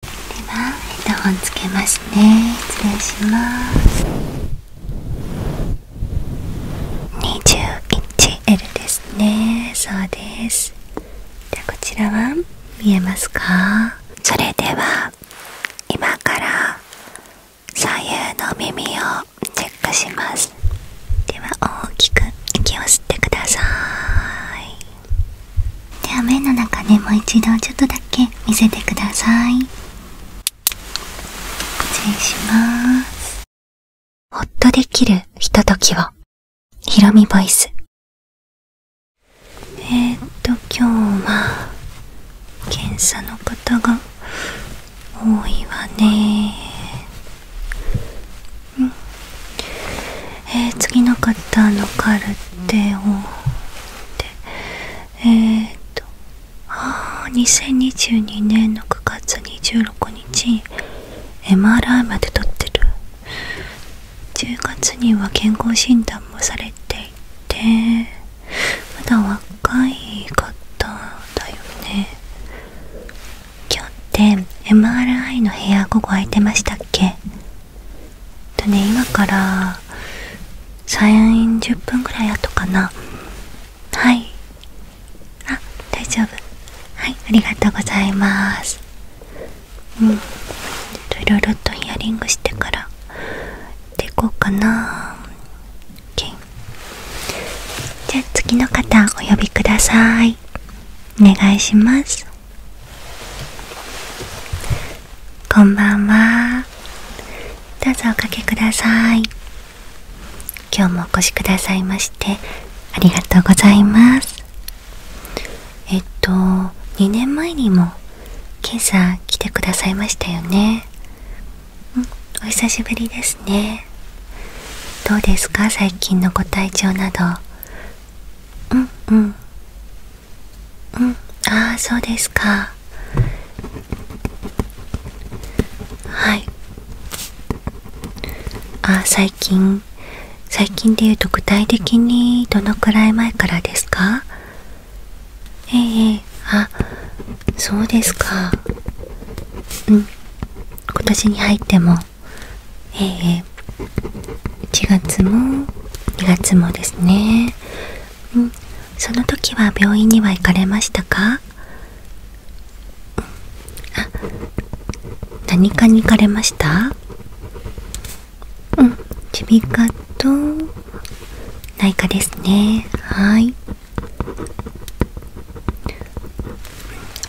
ではヘッドホンつけますね失礼します20インチ L ですねそうですこちらは見えますかそれでは今から左右の耳をチェックしますでは大きく息を吸ってくださいでは目の中でもう一度ちょっとだけ見せてください失礼しますほっとできるひとときをヒロミボイスえっと今日は検査の方が多いわねうんえ次の方のカルテをでえっ、とああ2022年の9月26日 MRI まで撮ってる10月には健康診断もされていてまだ若い方だよね今日って MRI の部屋午後空いてましたっけえっとね今から30分ぐらい後かなはいあ大丈夫はいありがとうございますうんいろいろとヒアリングしてからでいこうかな OK じゃあ次の方お呼びくださいお願いしますこんばんはどうぞおかけください今日もお越しくださいましてありがとうございますえっと2年前にも今朝来てくださいましたよねんお久しぶりですねどうですか最近のご体調などうんうんうんああそうですかはいああ、最近最近でいうと具体的にどのくらい前からですかええー、あそうですかうん今年に入ってもええー、1月も2月もですねうんその時は病院には行かれましたか、うん、あ何かに行かれましたうん耳鼻科と内科ですねはい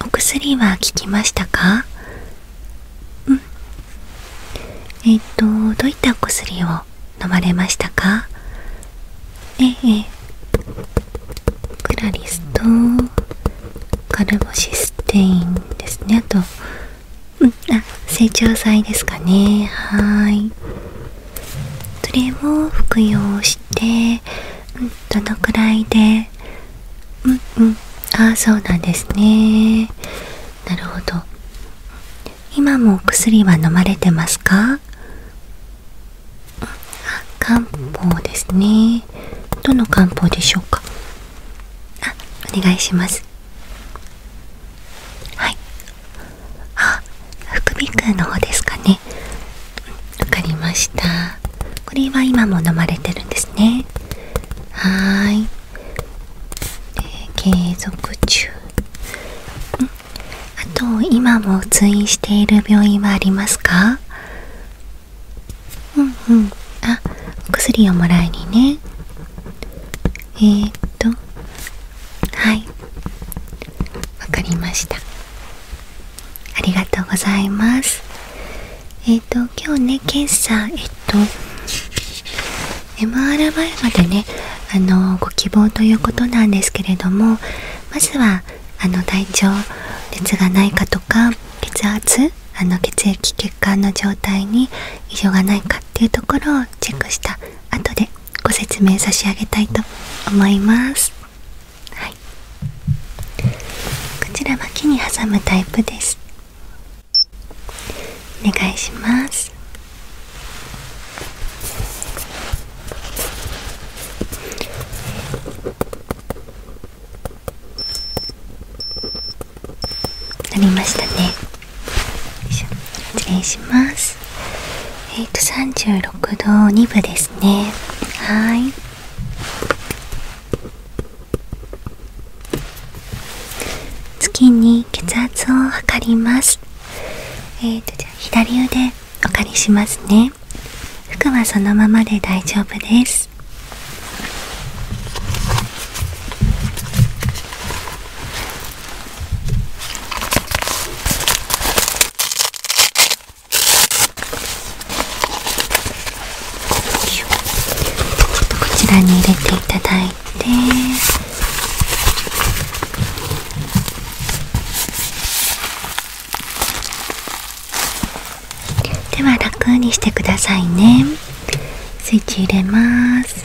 お薬は効きましたかうんえっ、とどういったお薬を飲まれましたかええー、クラリスとカルボシステインですねあとんあ成長剤ですかねはいそれを服用して、どのくらいでうんうんああそうなんですねなるほど今もお薬は飲まれてますか漢方ですねどの漢方でしょうかお願いしますはいあ副鼻腔の方ですかねわかりましたこれは今も飲まれてるんですねはい継続中あと今も通院している病院はありますかうんうんあ薬をもらいにねえっとはいわかりましたありがとうございますえっと今日ね検査えっと MRI までねあのご希望ということなんですけれどもまずはあの体調熱がないかとか血圧あの血液血管の状態に異常がないかっていうところをチェックした後でご説明差し上げたいと思います、はい、こちらはに挟むタイプですお願いしますなりましたね失礼しますえっ、ー、と36度2分ですねはい次に血圧を測りますと左腕お借りしますね服はそのままで大丈夫ですこちらに入れていただいでは楽にしてくださいねスイッチ入れます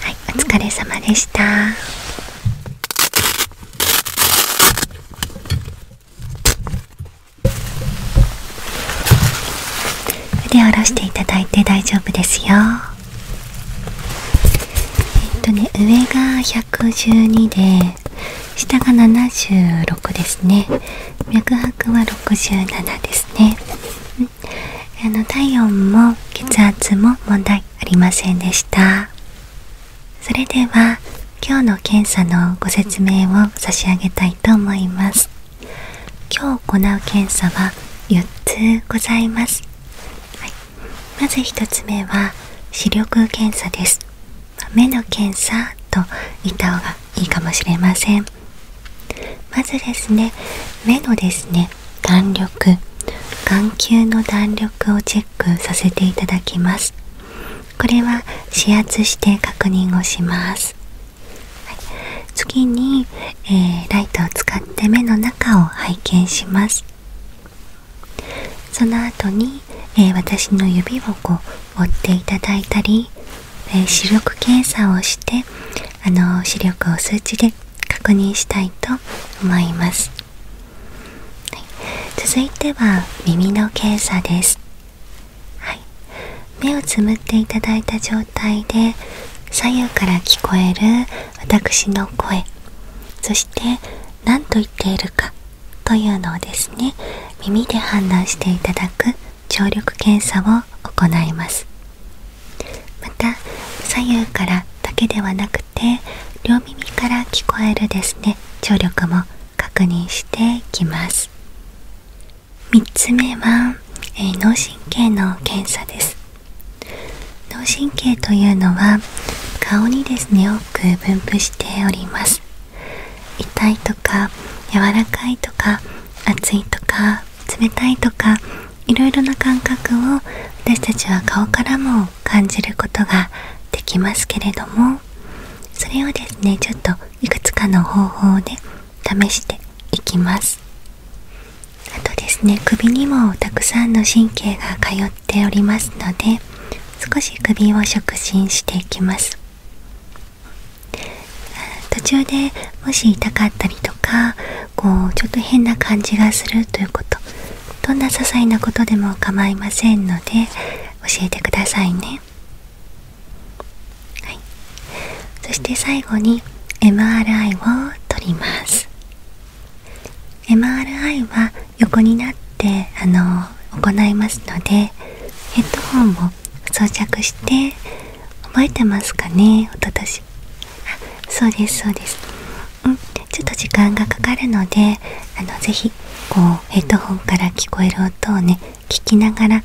はい、お疲れ様でした。腕下ろしていただいて大丈夫ですよ。えっとね、上が112で、下が76ですね脈拍は67ですね、あの体温も血圧も問題ありませんでしたそれでは今日の検査のご説明を差し上げたいと思います今日行う検査は4つございます、まず1つ目は視力検査です目の検査と言った方がいいかもしれませんまずですね目のですね弾力眼球の弾力をチェックさせていただきますこれは指圧して確認をします、次に、えー、ライトを使って目の中を拝見しますその後に、え私の指をこう追っていただいたり、え視力検査をしてあの視力を数値で確認したいと思います、続いては耳の検査です、目をつむっていただいた状態で左右から聞こえる私の声そして何と言っているかというのをですね耳で判断していただく聴力検査を行いますまた左右からだけではなくて両耳から聞こえるですね聴力も確認していきます3つ目は、え脳神経の検査です脳神経というのは顔にですね多く分布しております痛いとか柔らかいとか熱いとか冷たいとかいろいろな感覚を私たちは顔からも感じることができますけれどもそれをですねちょっといくつかの方法で試していきますあとですね首にもたくさんの神経が通っておりますので少し首を触診していきます途中でもし痛かったりとかこうちょっと変な感じがするということどんな些細なことでも構いませんので教えてくださいね、そして最後に MRI を取ります MRI は横になってあの行いますのでヘッドホンを装着して覚えてますかねおととしあそうですそうですうんちょっと時間がかかるのであのぜひこうヘッドホンから聞こえる音をね聞きながら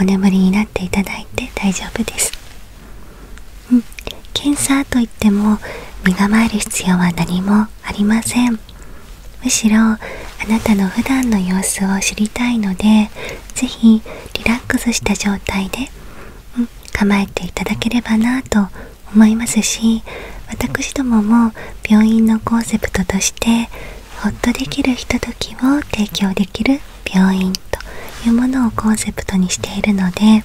お眠りになっていただいて大丈夫ですうん検査といっても身構える必要は何もありませんむしろあなたの普段の様子を知りたいのでで是非リラックスした状態で、うん、構えていただければなと思いますし私どもも病院のコンセプトとしてホッとできるひとときを提供できる病院というものをコンセプトにしているので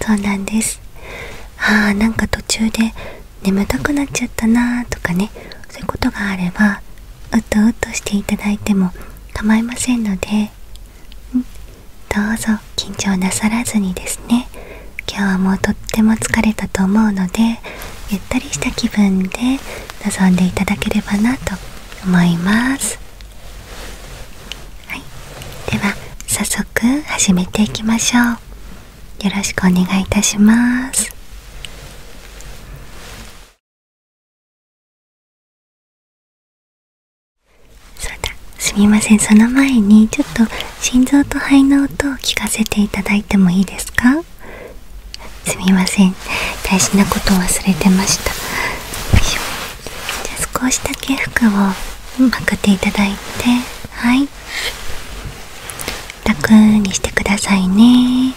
そうなんですあーなんか途中で眠たくなっちゃったなーとかねそういうことがあればうとうとしていただいても構いませんのでんどうぞ緊張なさらずにですね今日はもうとっても疲れたと思うのでゆったりした気分で臨んでいただければなと思います、では早速始めていきましょうよろしくお願いいたしますそうだすみませんその前にちょっと心臓と肺の音を聞かせていただいてもいいですかすみません大事なことを忘れてましたじゃあ少しだけ服をまくっていただいてはい楽にしてくださいね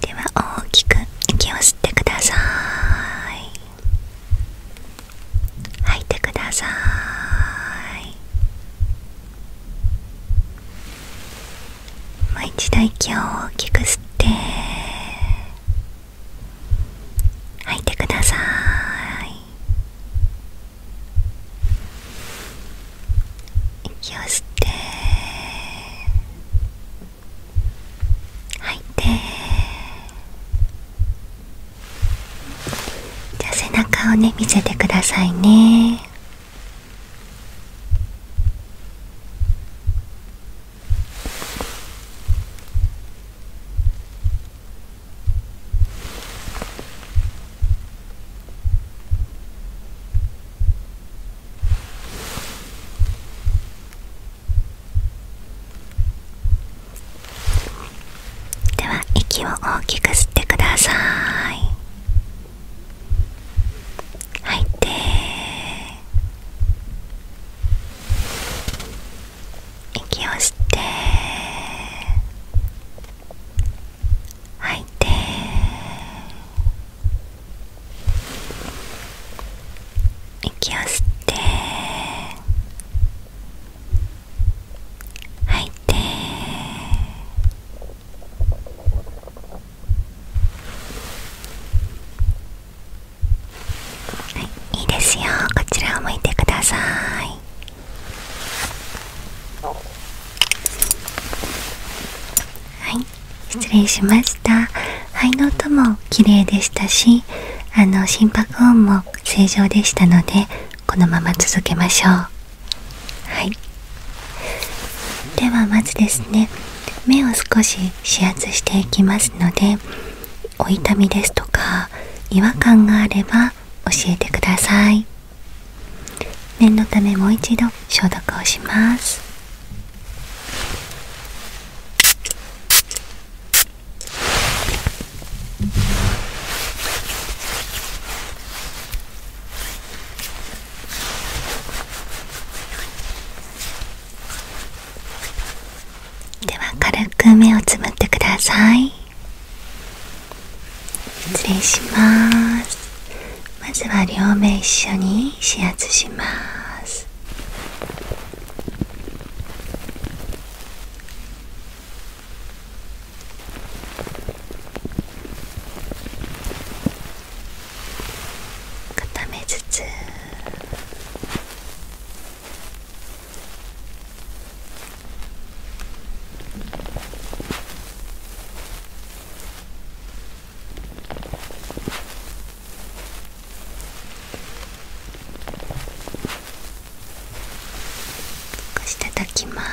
では大きく息を吸ってください吐いてくださいもう一度息を大きく吸って吐いてください息を吸って吐いてじゃあ背中をね見せてくださいねでは息を大きく吸ってください吐いて息を吸って吐いて息を吸って吐いてはいいいですよこちらを向いてくださいはい失礼しました肺の音も綺麗でしたしあの心拍音も正常でしたのでこのまま続けましょうはいではまずですね目を少し指圧していきますのでお痛みですとか違和感があれば教えてください念のためもう一度消毒をしますでは軽く目をつむってください失礼しますまずは両目一緒に指圧します固めつつ少し叩きます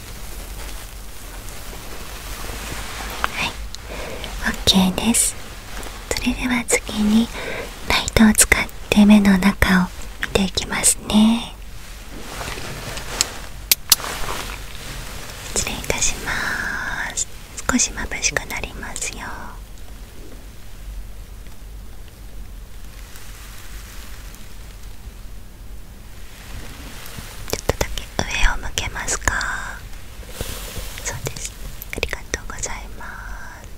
はい OK ですそれでは次にライトを使って目の中を見ていきますね失礼いたします少しまぶしくなりますよちょっとだけ上を向けますかそうですありがとうございます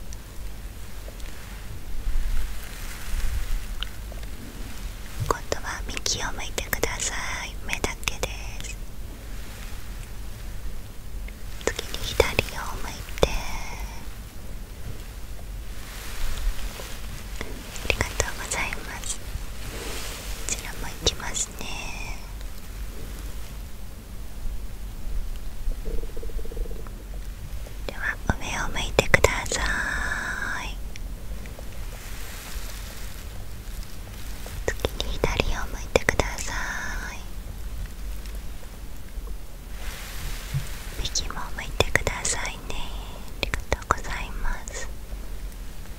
今度は右を向いてください目だけです次に左を向いてありがとうございますこちらもいきますねでは上を向いてください次に左を向いてください右も向いてくださいねありがとうございますい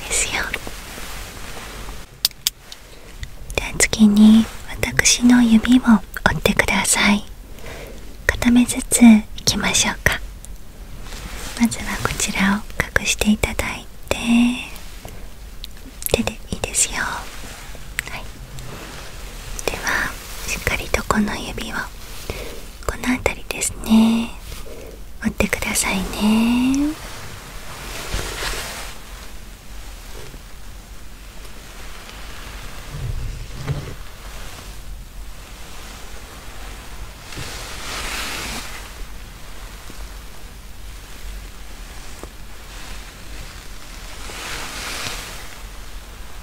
いですよじゃあ次に私の指を折ってください片目ずついきましょうかまずはこちらを隠していただいて手でいいですよはいではしっかりとこの指をこの辺りですね持ってくださいね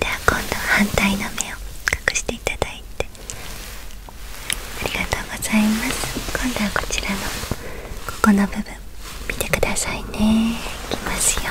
では今度は反対の目を隠していただいてありがとうございます今度はこちらのここの部分見てくださいねいきますよ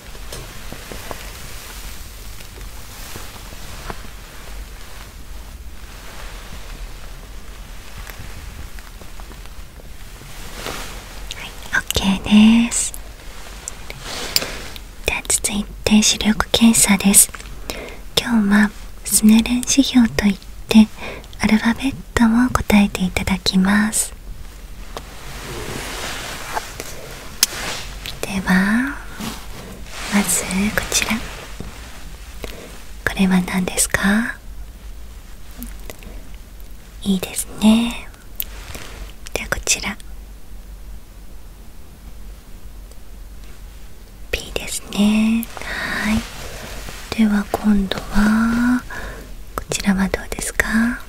はい、OK ですでは続いて視力検査です今日はスネレン指標といってアルファベットも答えていただきますではまずこちらこれは何ですかいいですねではこちら b ですねはいでは今度はこちらはどうですか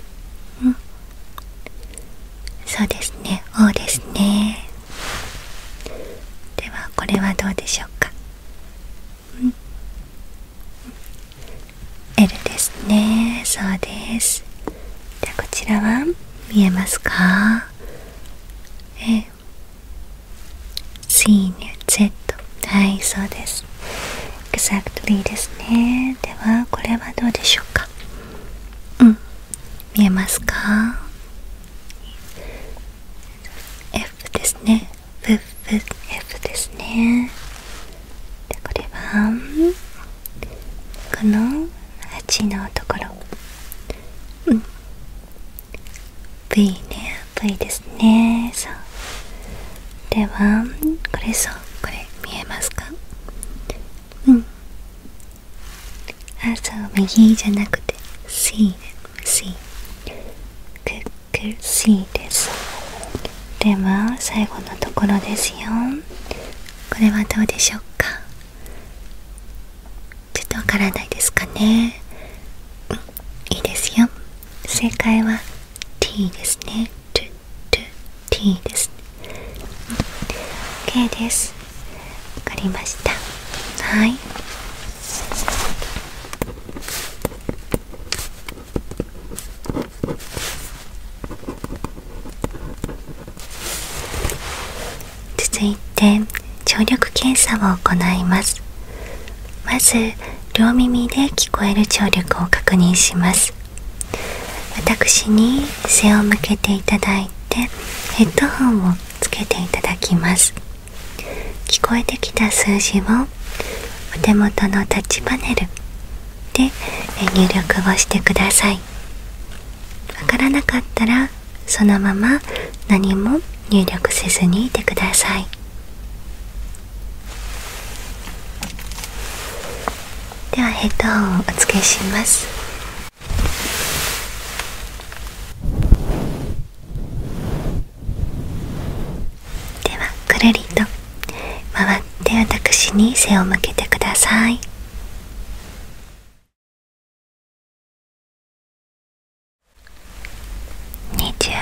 そうですね O ですねではこれはどうでしょうか、ん、L ですねそうですじゃあこちらは見えますかえ C に Z はいそうです Exactly ですねではこれはどうでしょうかうん見えますか F ですね F, ですねでこれはこの8のところうん V ね V ですねそうではこれそうこれ見えますかうん朝は右じゃなくて C で C クック C ですでは最後のところですよこれはどうでしょうかちょっとわからないですかねうんいいですよ正解は T ですね t ですね OK ですわかりましたはい続いて聴力検査を行いますまず両耳で聞こえる聴力を確認します私に背を向けていただいてヘッドホンをつけていただきます聞こえてきた数字をお手元のタッチパネルで入力をしてくださいわからなかったらそのまま何も入力せずにいてくださいではヘッドホンをお付けしますではくるりと回って私に背を向けてください21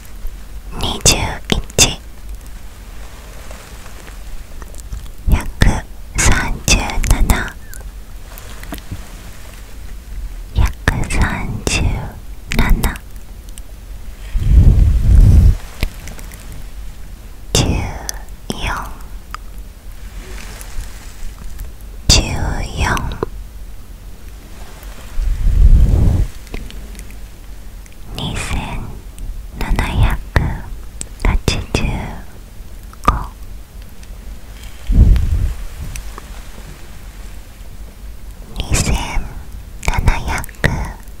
21約3 7 137 14 14 13 2785二千七百八十五六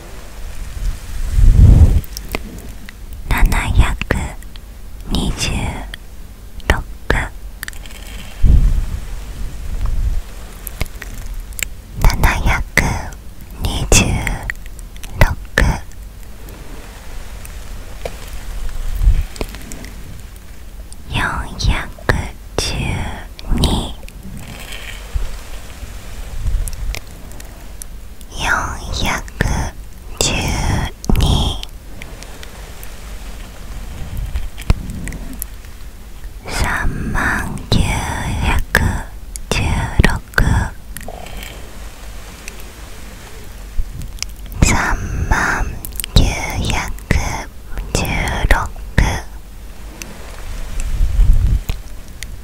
412 412 3万916 3万916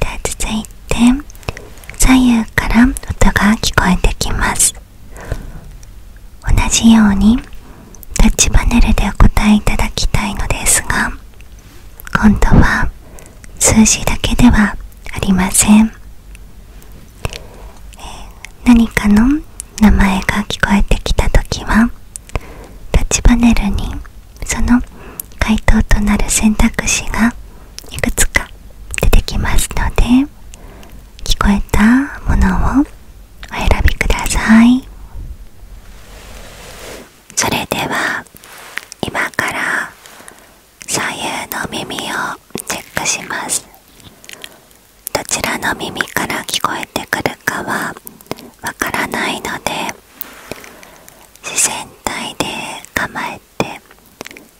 で続いて左右から音が聞こえてきます同じようにタッチパネルでお答えいただきたいのですが今度は数字だけではありません、え何かの名前が聞こえてきた時はタッチパネルにその回答となる選択肢がいくつか出てきますので聞こえたものをお選びくださいそれでは今から左右の耳をチェックしますどちらの耳から聞こえてくるかはわからないので自然体で構えて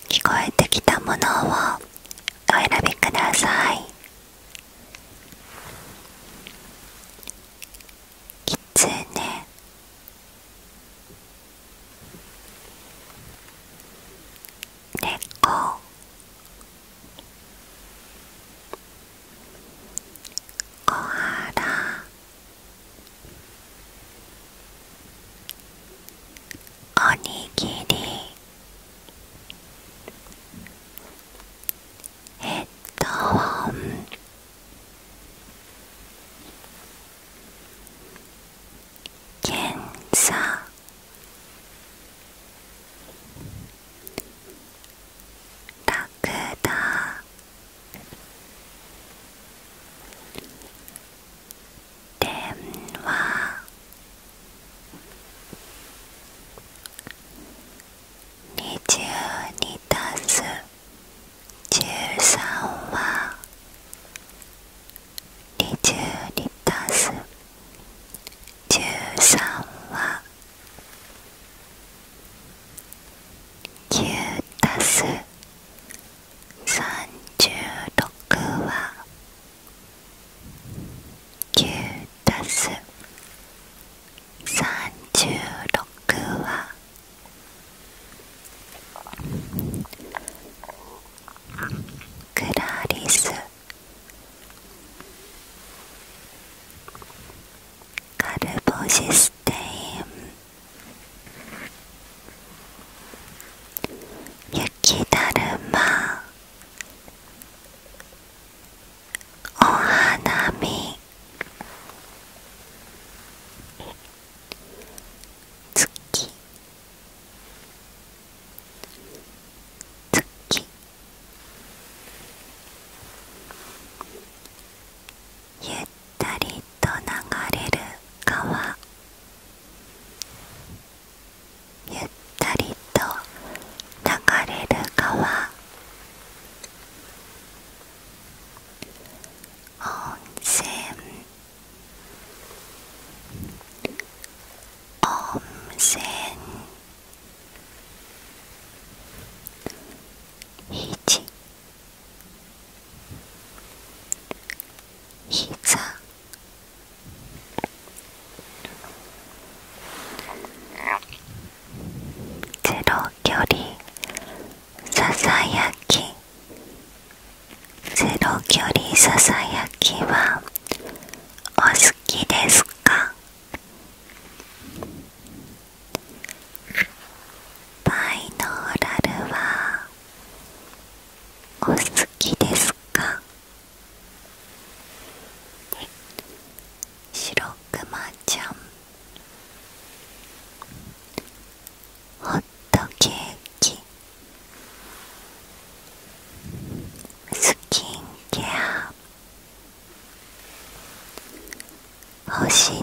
聞こえてきたものをお選びくださいきつねこ。こはら。おにぎりヘッドホン検査ラクダ電話二十2たす十三は二十2たす十三は九たす三十六は9たす十六はクラリスカルボシステイン雪だるまお花見月月ゆったりと流れる川ゆったりと流れる川温泉温泉ひじ膝。ゼロ距離ささやきゼロ距離ささやきはお好きですかバイノーラルはお好きですかシロクマちゃんホットケーキスキンケア保湿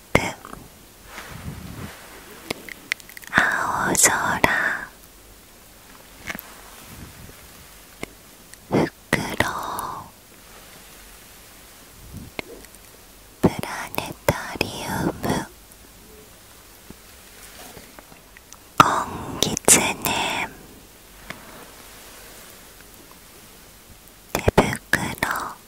青空ろ。プラネタリウム金ギツネ手袋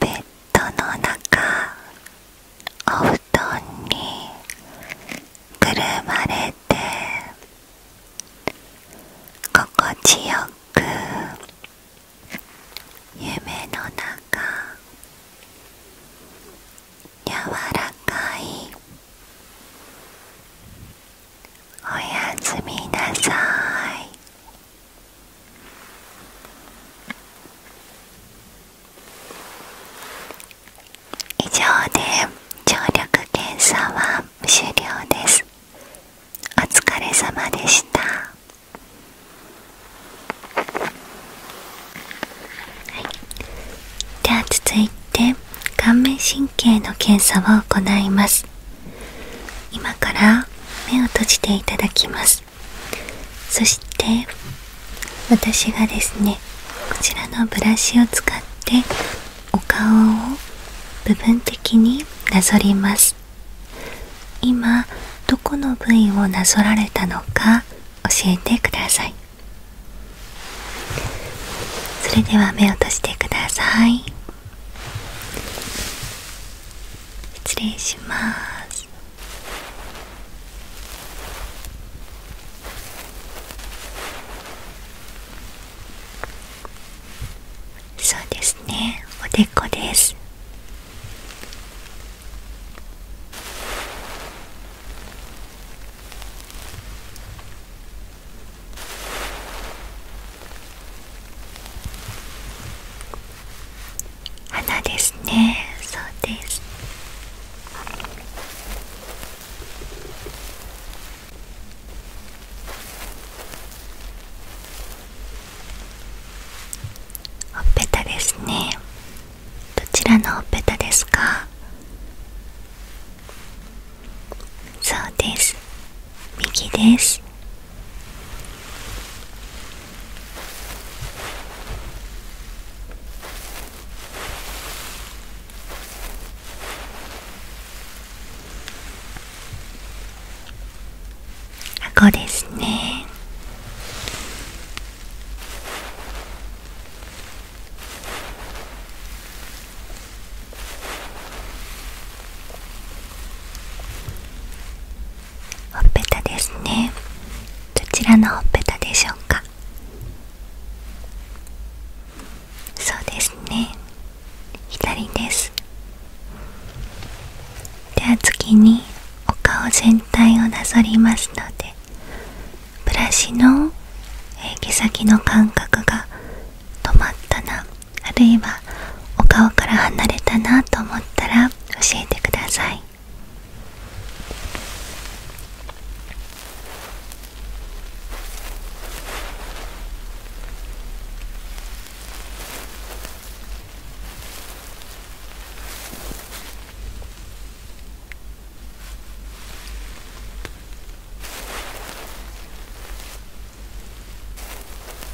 ベッドの中お布団にくるまれて心地よく夢の中柔らかいおやすみなさい以上で聴力検査は終了ですお疲れ様でしたでは続いて顔面神経の検査を行います今から目を閉じていただきますそして私がですねこちらのブラシを使ってお顔を部分的になぞります今どこの部位をなぞられたのか教えてくださいそれでは目を閉じてください失礼しますそうですねおでこです花ですねそうですほっぺたですねどちらのほっぺたですかそうです右ですこですねほっぺたですねどちらのほっぺたでしょうかそうですね左ですでは次にお顔全体をなぞりますのでブラシの毛先の感覚が止まったなあるいはお顔から離れたなと思ったら教えてください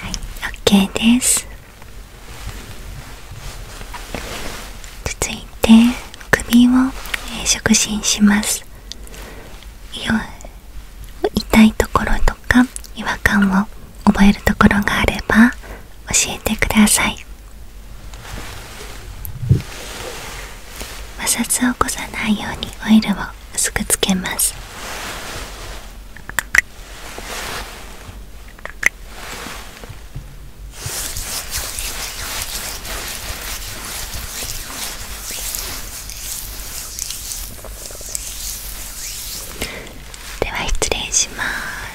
はい、OK です続いて首を触診します痛いところとか違和感を覚えるところがあれば教えてください摩擦を起こさないようにオイルを薄くつけますでは失礼します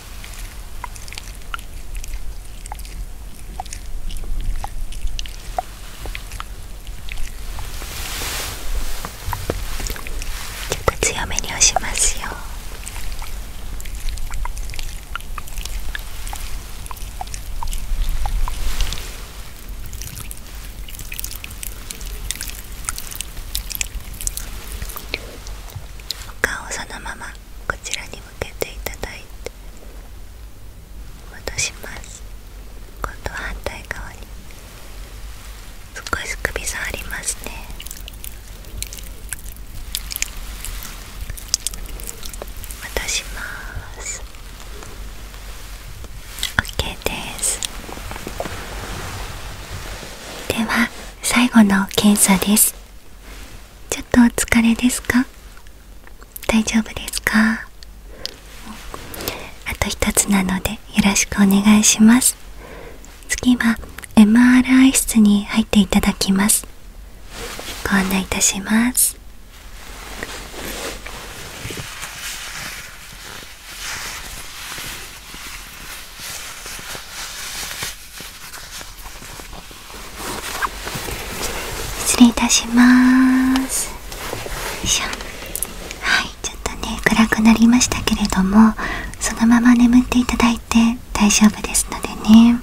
ちょっと強めに押しますよ。お顔をそのままこちらに向けていただいて戻します今度は反対側に少し首触りますね戻します OK ですでは最後の検査ですちょっとお疲れですか大丈夫ですかあと一つなのでよろしくお願いします次は MRI 室に入っていただきますご案内いたします失礼いたしますはいちょっとね暗くなりましたけれどもそのまま眠っていただいて大丈夫ですのでね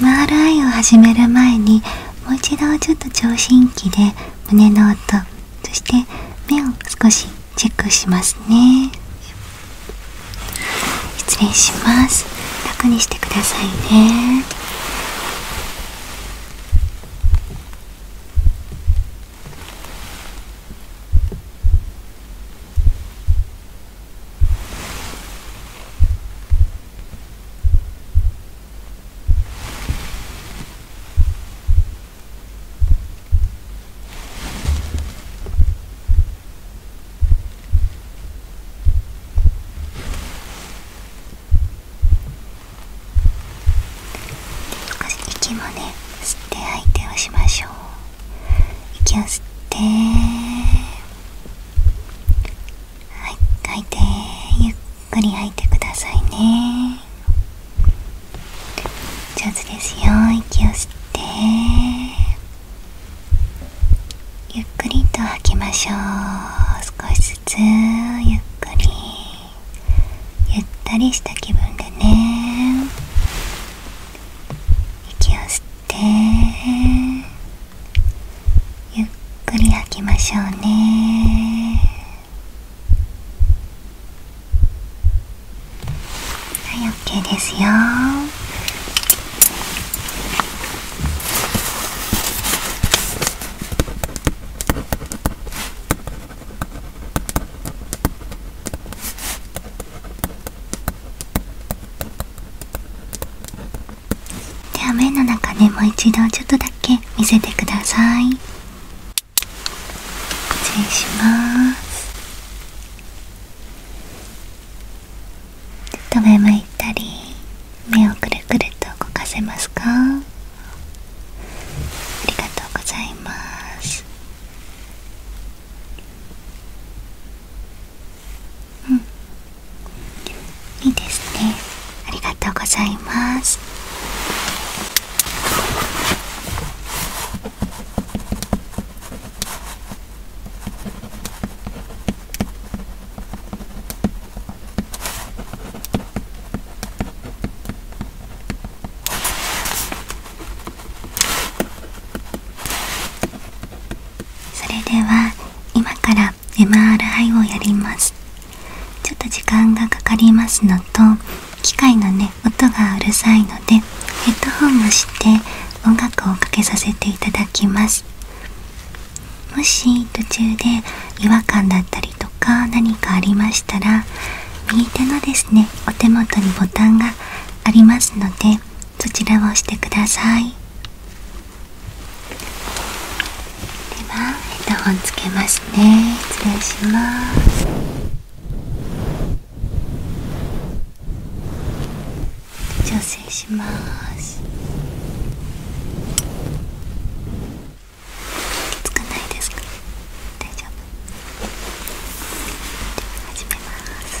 MRI を始める前にもう一度ちょっと聴診器で胸の音そして目を少しチェックしますね失礼します楽にしてくださいね息もね吸って相手をしましょう息を吸ってはい吐いてゆっくり吐いてくださいね上手ですよ息を吸ってゆっくりと吐きましょう少しずつゆっくりゆったりした気分でね息を吸ってゆっくり吐きましょうねはい OK ですよでは目の中でもう一度ちょっとだけ見せてください失礼しますちょっと上向いたり目をくるくると動かせますかありがとうございますうんいいですねありがとうございますそれでは今から MRI をやりますちょっと時間がかかりますのと機械のね音がうるさいのでヘッドホンをして音楽をかけさせていただきますもし途中で違和感だったりとか何かありましたら右手のですねお手元にボタンがありますのでそちらを押してくださいではヘッドホンつけますね失礼します調整しますつくないですか大丈夫始めます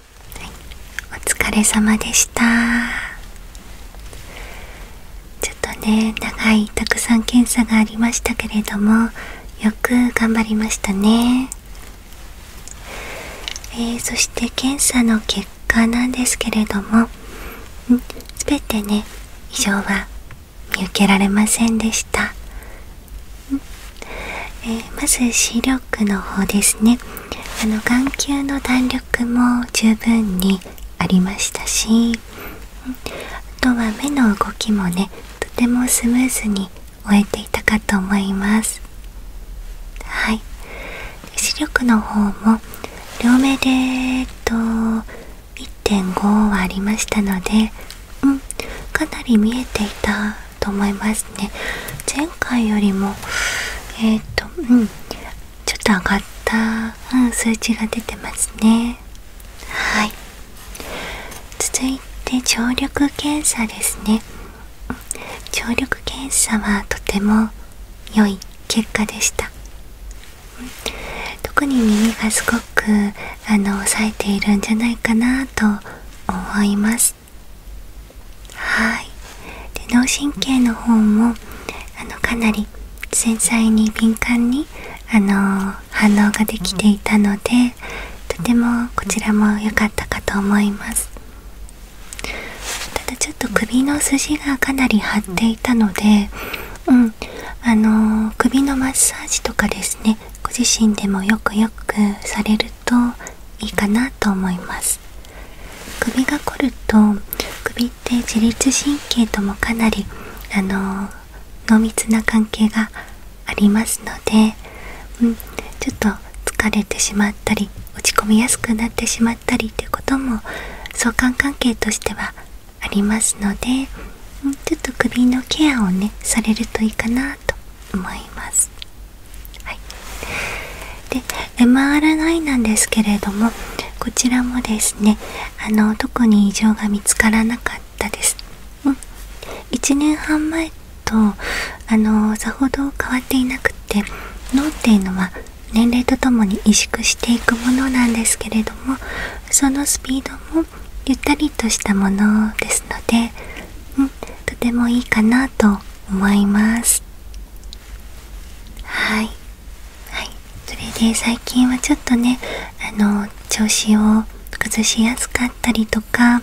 お疲れ様でしたちょっとね長いたくさん検査がありましたけれどもよく頑張りましたねえそして検査の結果なんですけれども全てね異常は見受けられませんでしたえまず視力の方ですねあの眼球の弾力も十分にありましたしあとは目の動きもねとてもスムーズに終えていたかと思いますはい視力の方も両目で、えっと、1.5はありましたので、うん、かなり見えていたと思いますね前回よりもえっ、とちょっと上がった、うん、数値が出てますねはい続いて聴力検査ですね聴力検査はとても良い結果でした特に耳がすごくあの抑えているんじゃないかなと思いますはいで脳神経の方もあのかなり繊細に敏感にあの反応ができていたのでとてもこちらも良かったかと思いますただちょっと首の筋がかなり張っていたのでうんあの首のマッサージとかですねご自身でもよくよくされるといいかなと思います首が凝ると首って自律神経ともかなりあの濃密な関係がありますので、うん、ちょっと疲れてしまったり落ち込みやすくなってしまったりということも相関関係としてはありますので、うん、ちょっと首のケアをねされるといいかなと思います。はい、で MR9 なんですけれどもこちらもですねあの特に異常が見つからなかったです、うん、1年半前とあのさほど変わっていなくて脳っていうのは年齢とともに萎縮していくものなんですけれどもそのスピードもゆったりとしたものですので、うん、とてもいいかなと思いますはいはいそれで最近はちょっとねあの調子を崩しやすかったりとか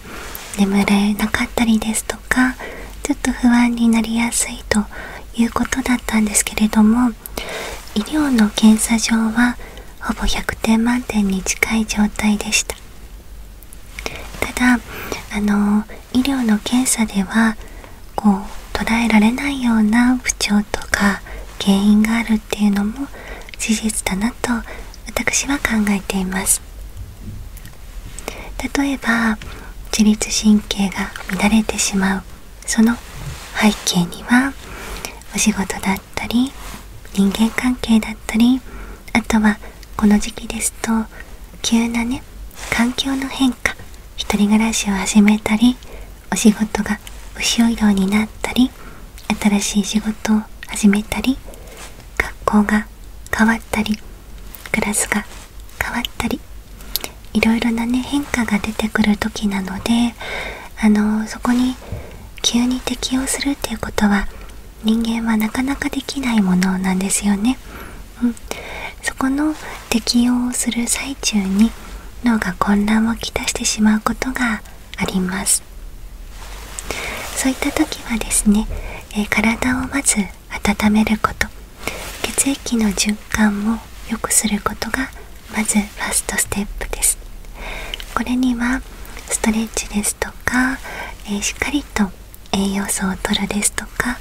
眠れなかったりですとかちょっと不安になりやすいということだったんですけれども医療の検査場はほぼ100点満点に近い状態でしたただあの医療の検査ではこう捉えられないような不調とか原因があるっていうのも事実だなと私は考えています例えば自律神経が乱れてしまうその背景にはお仕事だったり人間関係だったりあとはこの時期ですと急なね環境の変化一人暮らしを始めたりお仕事が後ろ移動になったり新しい仕事を始めたり学校が変わったりクラスが変わったりいろいろなね変化が出てくる時なのであのそこに急に適応するっていうことは人間はなかなかできないものなんですよね。うん、そこの適用をする最中に脳が混乱をきたしてしまうことがありますそういった時はですね、え体をまず温めること血液の循環も良くすることがまずファストステップですこれにはストレッチですとか、えしっかりと栄養素をとるですとか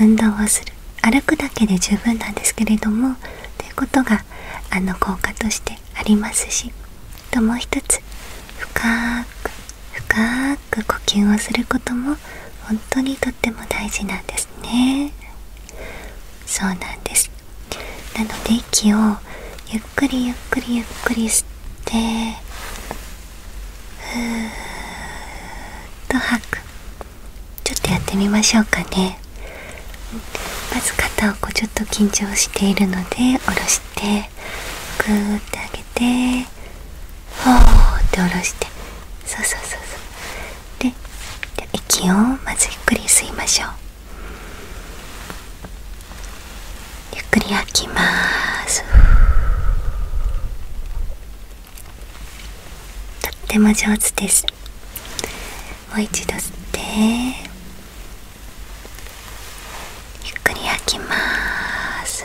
運動をす歩くだけで十分なんですけれどもということがあの効果としてありますしあともう一つ深く深く呼吸をすることも本当にとっても大事なんですねそうなんですなので息をゆっくりゆっくりゆっくり吸ってふーっと吐くちょっとやってみましょうかねまず肩をこうちょっと緊張しているので下ろしてグーって上げてほーって下ろしてそうそうそうそうで息をまずゆっくり吸いましょうゆっくり吐きますとっても上手ですもう一度吸ってゆっくり吐きます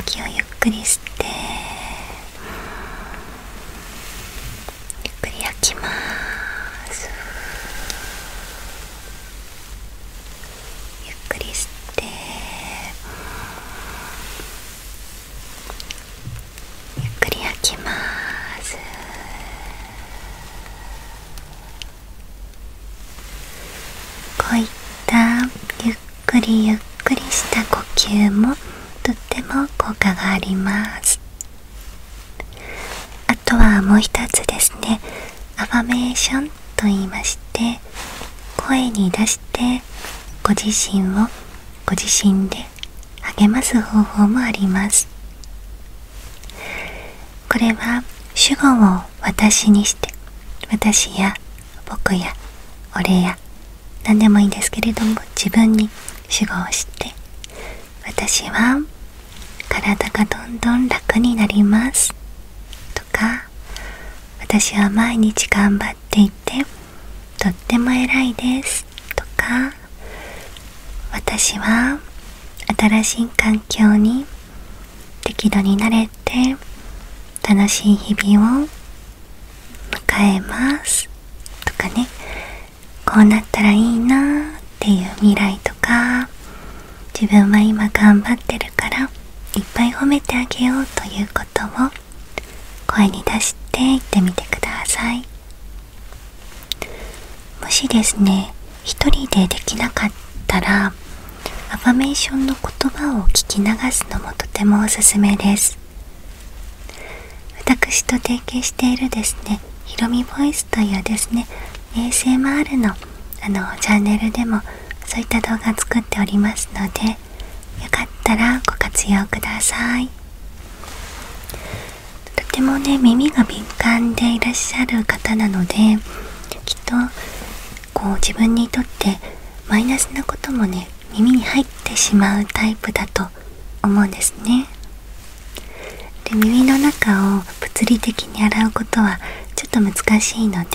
息をゆっくり吸ってゆっくり吐きますゆっくり吸てゆっくり開きますこういったゆっくりゆっくりした呼吸もとっても効果がありますあとはもう一つですねアファメーションと言いまして声に出してご自身をご自身で励ます方法もありますこれは主語を私にして私や僕や俺や何でもいいんですけれども自分に主語をして私は体がどんどん楽になりますとか私は毎日頑張っていてとっても偉いですとか私は新しい環境に適度に慣れて楽しい日々を迎えますとかねこうなったらいいなっていう未来とか自分は今頑張ってるからいっぱい褒めてあげようということを声に出して言ってみてくださいもしですね一人でできなかったらアファメーションの言葉を聞き流すのもとてもおすすめです私と提携しているですねひろみボイスというですね a s m るのあのチャンネルでもそういった動画作っておりますのでよかったらご活用くださいとてもね耳が敏感でいらっしゃる方なのできっとこう自分にとってマイナスなこともね耳に入ってしまうタイプだと思うんですねで耳の中を物理的に洗うことはちょっと難しいので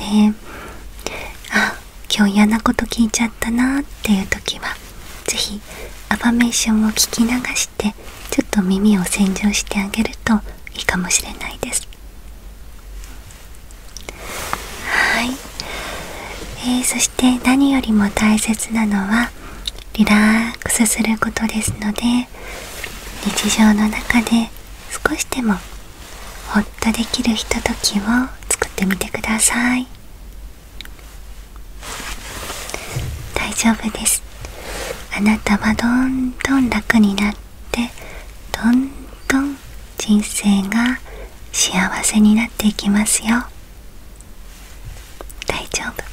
あ今日嫌なこと聞いちゃったなーっていう時は是非アファメーションを聞き流してちょっと耳を洗浄してあげるといいかもしれないですはい、えー、そして何よりも大切なのはリラックスすることですので日常の中で少しでもほっとできるひとときを作ってみてください大丈夫ですあなたはどんどん楽になってどんどん人生が幸せになっていきますよ大丈夫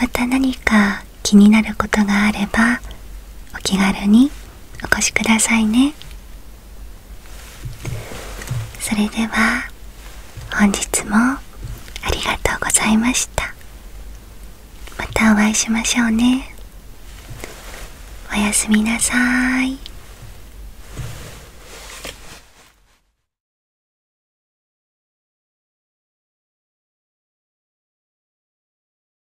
また何か気になることがあればお気軽にお越しくださいねそれでは本日もありがとうございましたまたお会いしましょうねおやすみなさい